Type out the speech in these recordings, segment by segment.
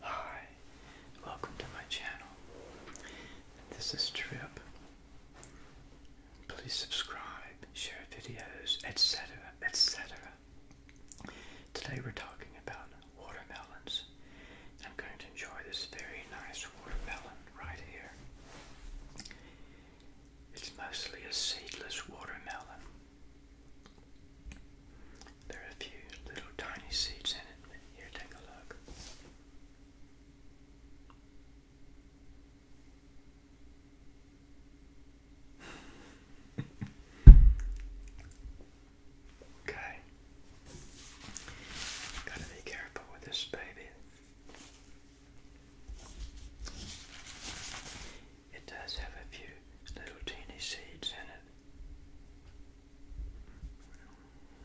Hi, welcome to my channel. This is Trip. Please subscribe, share videos, etc. etc. Today we're talking about watermelons. I'm going to enjoy this very nice watermelon right here. It's mostly a seedless watermelon. There are a few little tiny seeds in it. Here, take a look. okay. Gotta be careful with this baby. It does have a few little teeny seeds in it.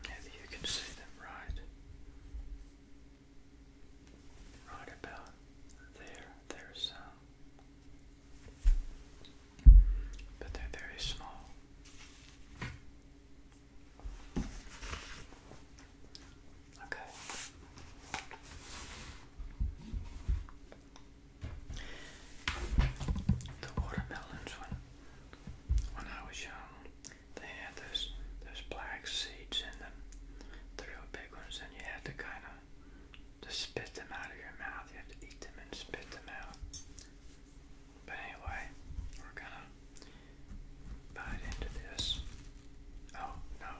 Maybe you can see them right. Right about there, there some. But they're very small. Okay. The watermelons, when when I was young, they had those those black seeds in them, the real big ones, and you had to kind of spit them out of your mouth. You had to eat them and spit them out. But anyway, we're gonna bite into this. Oh no.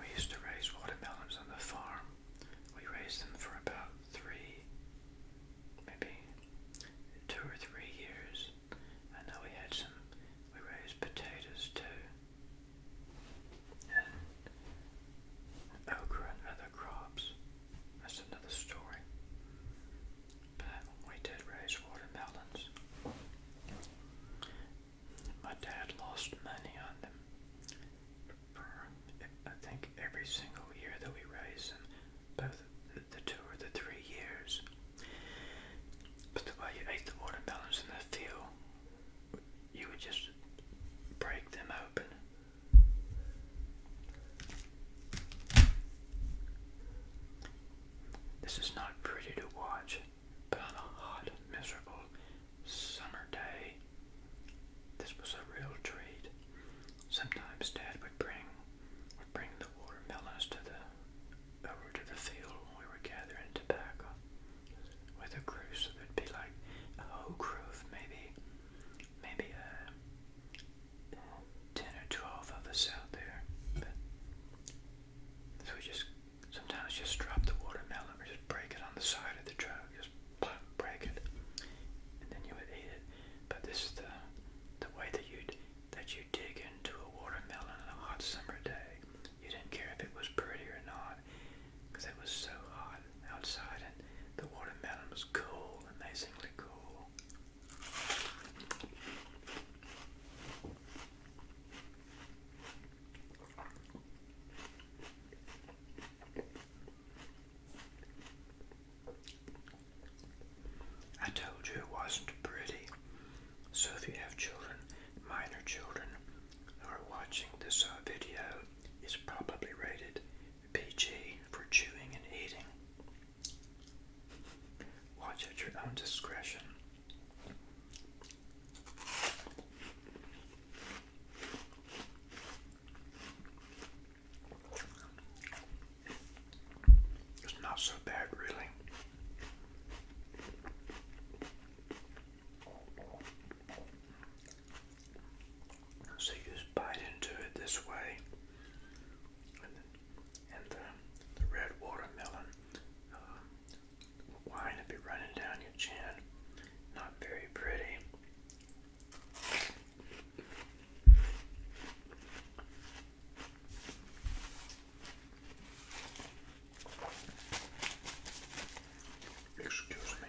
We used to raise watermelons on the farm. We raised them for about three, maybe two or three years. And then we had some, we raised potatoes too. And okra and other crops. That's another story. But we did raise watermelons. My dad lost money on them. I think every single year that we raised them, both the two or the three years. But the way you ate the watermelons in the field, you would just break them open. This is not pretty to watch but on a hot, miserable summer day, this was a real treat. Sometimes Dad would bring would bring the watermelons to the over to the field when we were gathering tobacco with a crew, so there'd be like a whole crew maybe maybe a uh, ten or twelve of us out there. so we just Sometimes just drop the watermelon or just break it on the side of the truck. Just break it, and then you would eat it. But this is the the way that you that you dig into a watermelon on a hot summer day. You didn't care if it was pretty or not, because it was so hot outside, and the watermelon was cool, amazingly cool. I told you it wasn't pretty. So if you have children, minor children, are watching this uh, video, it's probably rated PG for chewing and eating. Watch at your own discretion. It's not so bad, really. So you just bite into it this way, and, and the, red watermelon uh, wine would be running down your chin. Not very pretty. Excuse me.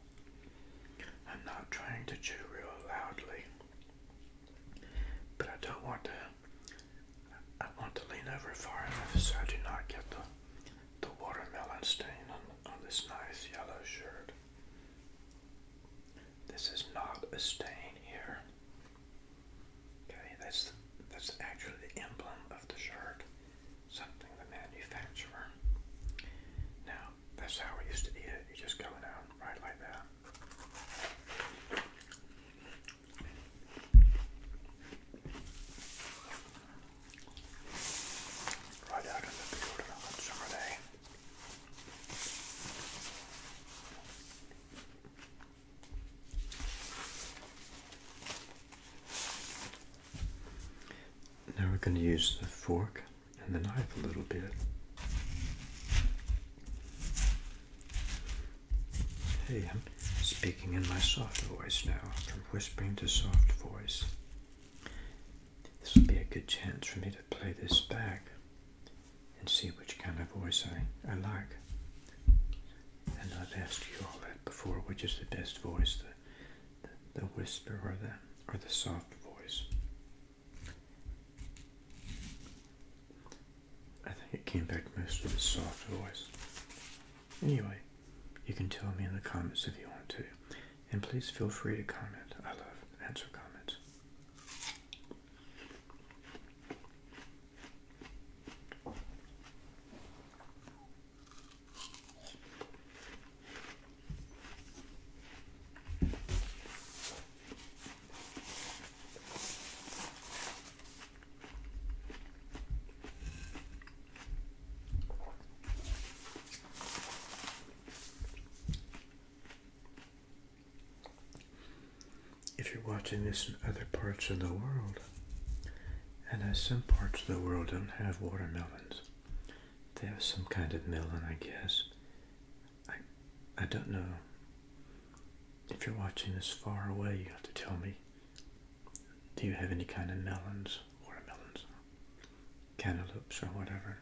I'm not trying to chew real loudly, but I don't want to. I want to lean over far enough so I do not get the the watermelon stain on, on this nice yellow shirt. This is not a stain here. Okay, that's that's actually the emblem of the shirt, something the manufacturer. Now that's how I used to eat it. You just go out right like that. Right out in the field on a summer day. Now we're going to use the fork and the knife a little bit. Hey, I'm speaking in my soft voice now, from whispering to soft voice. This will be a good chance for me to play this back and see which kind of voice I, I like. And I've asked you all that before, which is the best voice, the the whisper or the or the soft voice. I think it came back most with a soft voice. Anyway, you can tell me in the comments if you want to. And please feel free to comment. I love answer comments. If you're watching this in other parts of the world, and as some parts of the world don't have watermelons, they have some kind of melon, I guess. I, I don't know. If you're watching this far away, you have to tell me. Do you have any kind of melons, watermelons, cantaloupes, or whatever?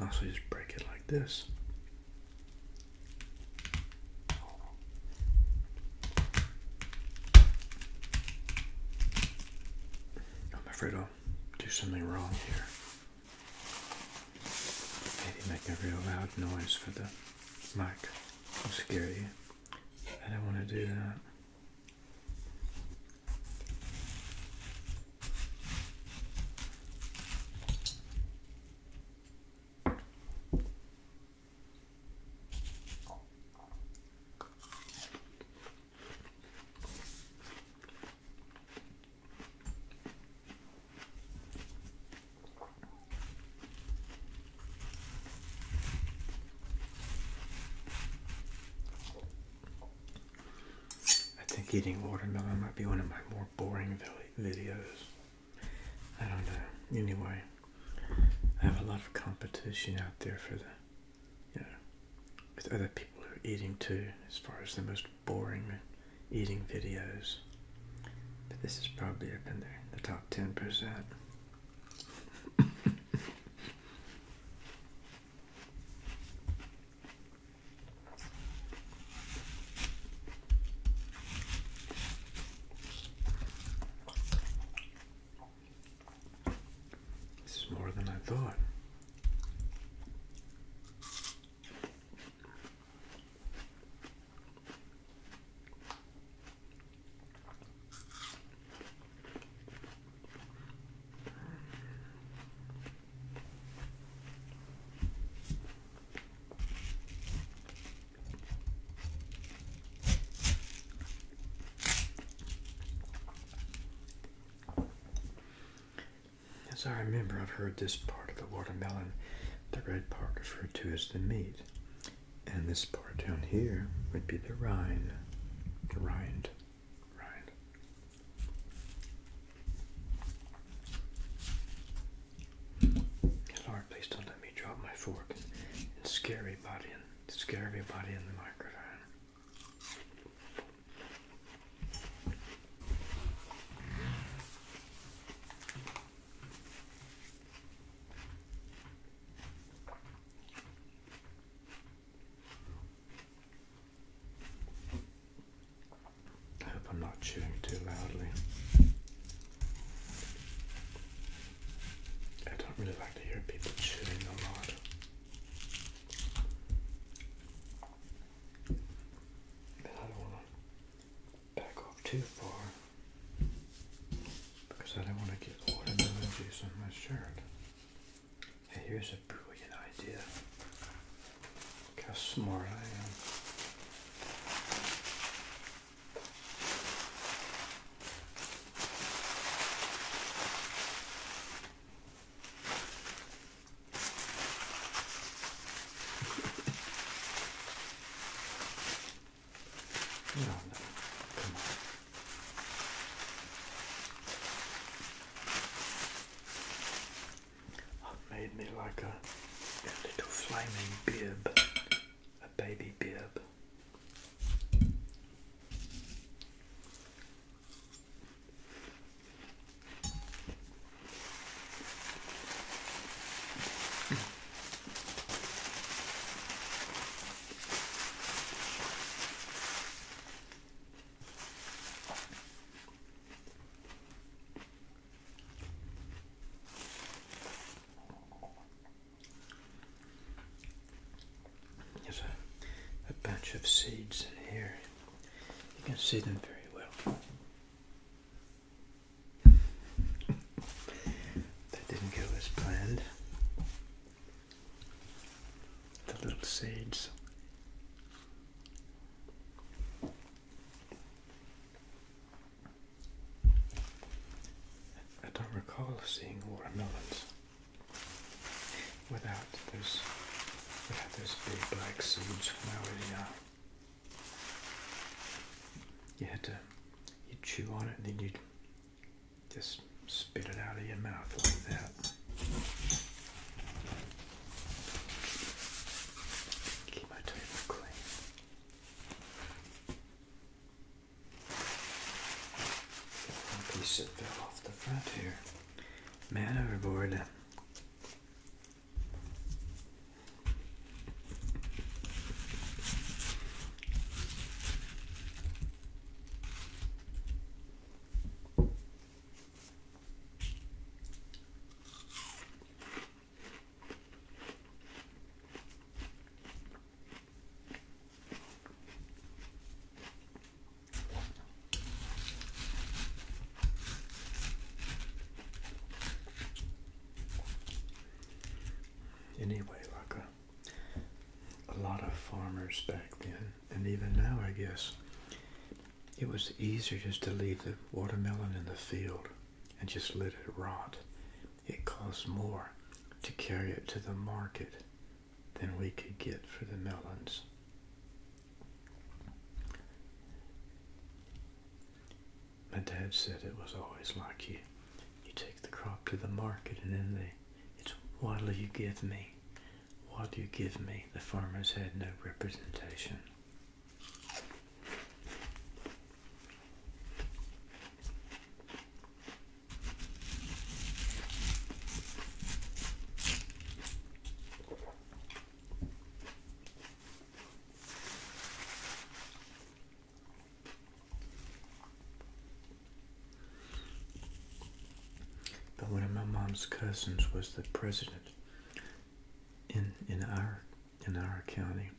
also, just break it like this. I'm afraid I'll do something wrong here. Maybe make a real loud noise for the mic. i you. I don't want to do that. I think eating watermelon might be one of my more boring videos. I don't know. Anyway, I have a lot of competition out there for the, you with other people who are eating too, as far as the most boring eating videos. But this is probably up in there, the top 10%. This is more than I thought. As I remember, I've heard this part of the watermelon, the red part, referred to as the meat. And this part down here would be the rind. The rind. Rind. Lord, please don't let me drop my fork and scare everybody and scare everybody in the microphone. I hope I'm not chewing too loudly. I don't really like to hear people chewing a lot. And I don't want to back off too far because I don't want to get watermelon juice on my shirt. Hey, here's a brilliant idea. Look how smart I am. No, no, come on. i made me like a a, little flaming bib, a baby bib. There's a, bunch of seeds in here. You can see them very well. that didn't go as planned. The little seeds. I don't recall seeing watermelons without those without those big black seeds when I was young. You had to you chew on it and then you'd just spit it out of your mouth like that. Keep my table clean piece that fell off the front here. Man overboard. Anyway, like a lot of farmers back then, and even now, I guess, it was easier just to leave the watermelon in the field and just let it rot. It costs more to carry it to the market than we could get for the melons. My dad said it was always like you. You take the crop to the market and then they, it's what'll you give me? What'll you give me? The farmers had no representation. But one of my mom's cousins was the president in in our in our county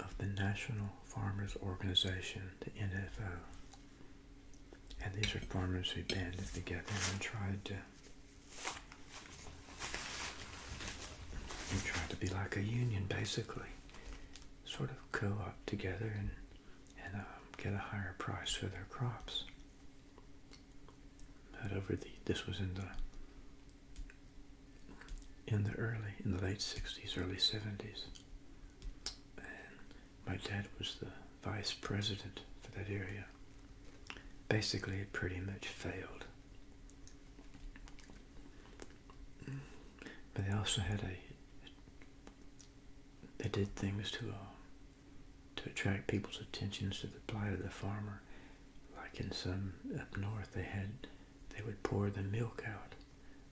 of the National Farmers Organization, the NFO. And these are farmers who banded together and tried to and tried to be like a union basically. Sort of co-op together and, and um, get a higher price for their crops over the, this was in the in the early in the late 60s early 70s my dad was the vice president for that area basically it pretty much failed but they also had a they did things to uh, to attract people's attentions to the plight of the farmer like in some up north they had they would pour the milk out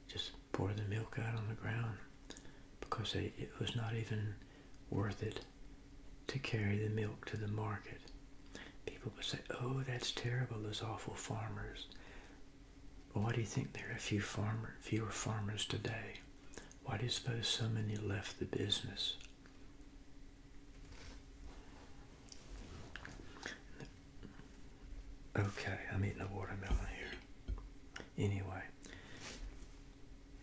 just pour the milk out on the ground because it was not even worth it to carry the milk to the market people would say oh that's terrible those awful farmers well, why do you think there are fewer farmers today why do you suppose so many left the business Okay, I'm eating a watermelon here. Anyway,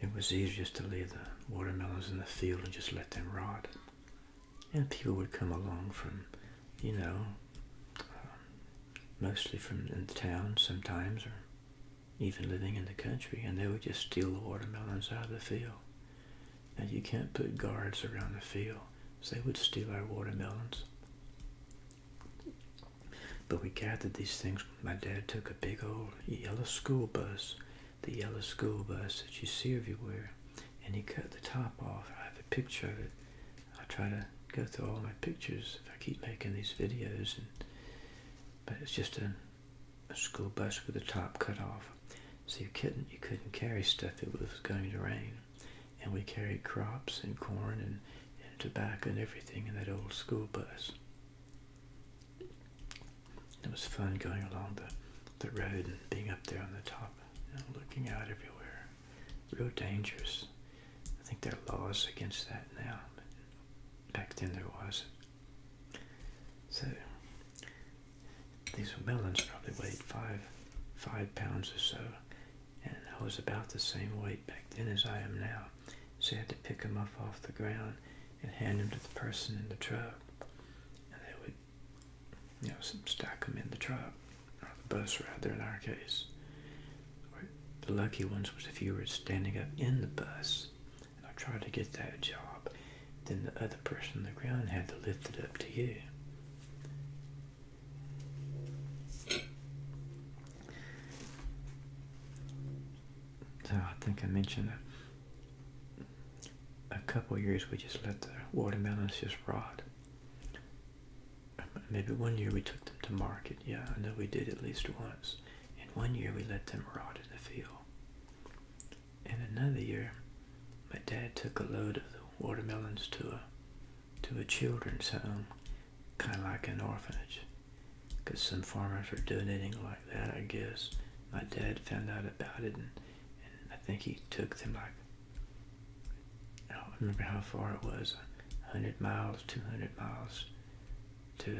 it was easiest to leave the watermelons in the field and just let them rot. And people would come along from, you know, um, mostly from in the town sometimes, or even living in the country, and they would just steal the watermelons out of the field. Now you can't put guards around the field. So they would steal our watermelons. But we gathered these things. My dad took a big old yellow school bus, the yellow school bus that you see everywhere, and he cut the top off. I have a picture of it. I try to go through all my pictures if I keep making these videos. but it's just a a school bus with the top cut off. So you couldn't you couldn't carry stuff. It was going to rain, and we carried crops and corn and, and tobacco and everything in that old school bus. It was fun going along the, the road and being up there on the top, you looking out everywhere. Real dangerous. I think there are laws against that now. back then there was so these melons probably weighed five five pounds or so, and I was about the same weight back then as I am now. So I had to pick them up off the ground and hand them to the person in the truck, and they would, you know, stack them in the truck or the bus there in our case. The lucky ones was if you were standing up in the bus I tried to get that job, then the other person in the ground had to lift it up to you. So I think I mentioned a, a couple years we just let the watermelons just rot. Maybe one year we took them to market. Yeah, I know we did at least once. And one year we let them rot in the field. And another year, my dad took a load of the watermelons to a to a children's home, kind of like an orphanage, because some farmers were donating like that, I guess. My dad found out about it, and, and I think he took them like I don't remember how far it was, 100 miles, 200 miles to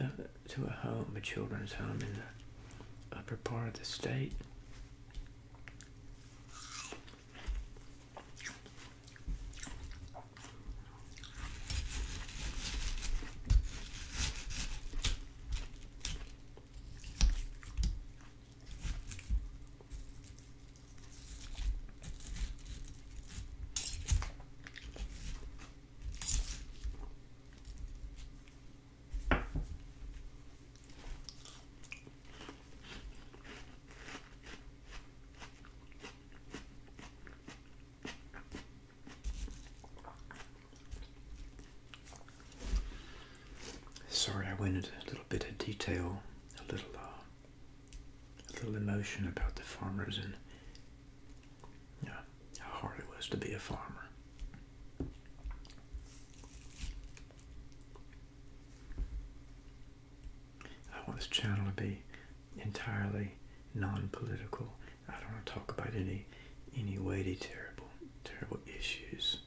a, uh, a, to a home, a children's home in the upper part of the state. Sorry, I went into a little bit of detail, a little, uh, a little emotion about the farmers and yeah, how hard it was to be a farmer. I want this channel to be entirely non-political. I don't want to talk about any any weighty, terrible, terrible issues.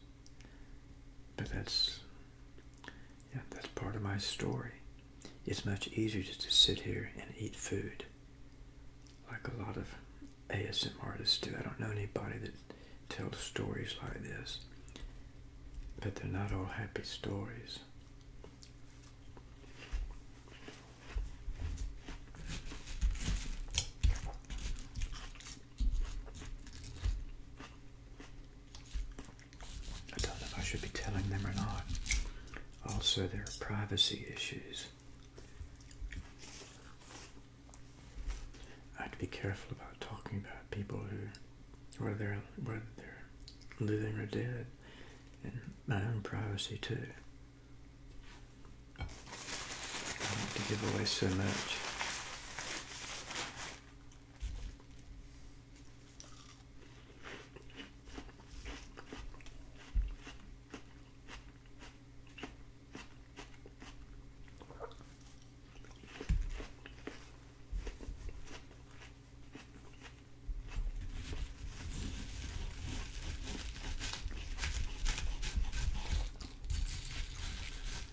But that's yeah, that's part of my story. It's much easier just to sit here and eat food, like a lot of ASM artists do. I don't know anybody that tells stories like this, but they're not all happy stories. I don't know if I should be telling them or not. Also, there are privacy issues. I'd be careful about talking about people who, whether they're whether are living or dead, and my own privacy too. I don't want to give away so much.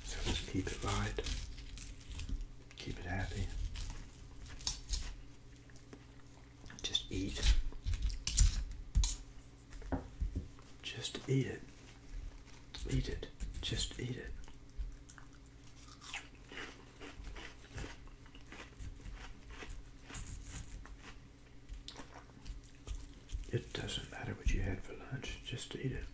So just keep it light, keep it happy. Just eat. Just eat it. Eat it. Just eat it. It doesn't matter what you had for lunch, just eat it.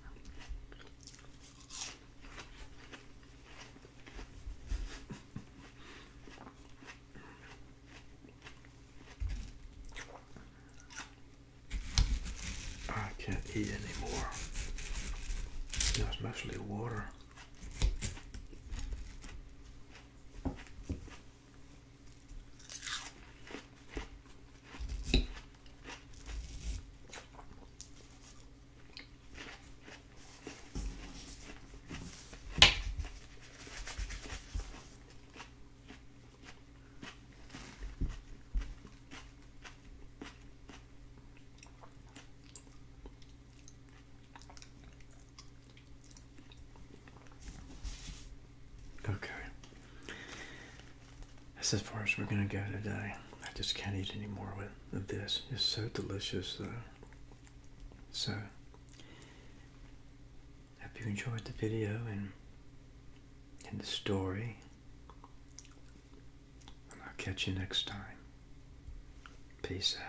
I can't eat anymore. You know, especially water. Okay. That's as far as we're gonna go today. I just can't eat any more of this. It's so delicious though. So Hope you enjoyed the video and and the story. I'll catch you next time. Peace out.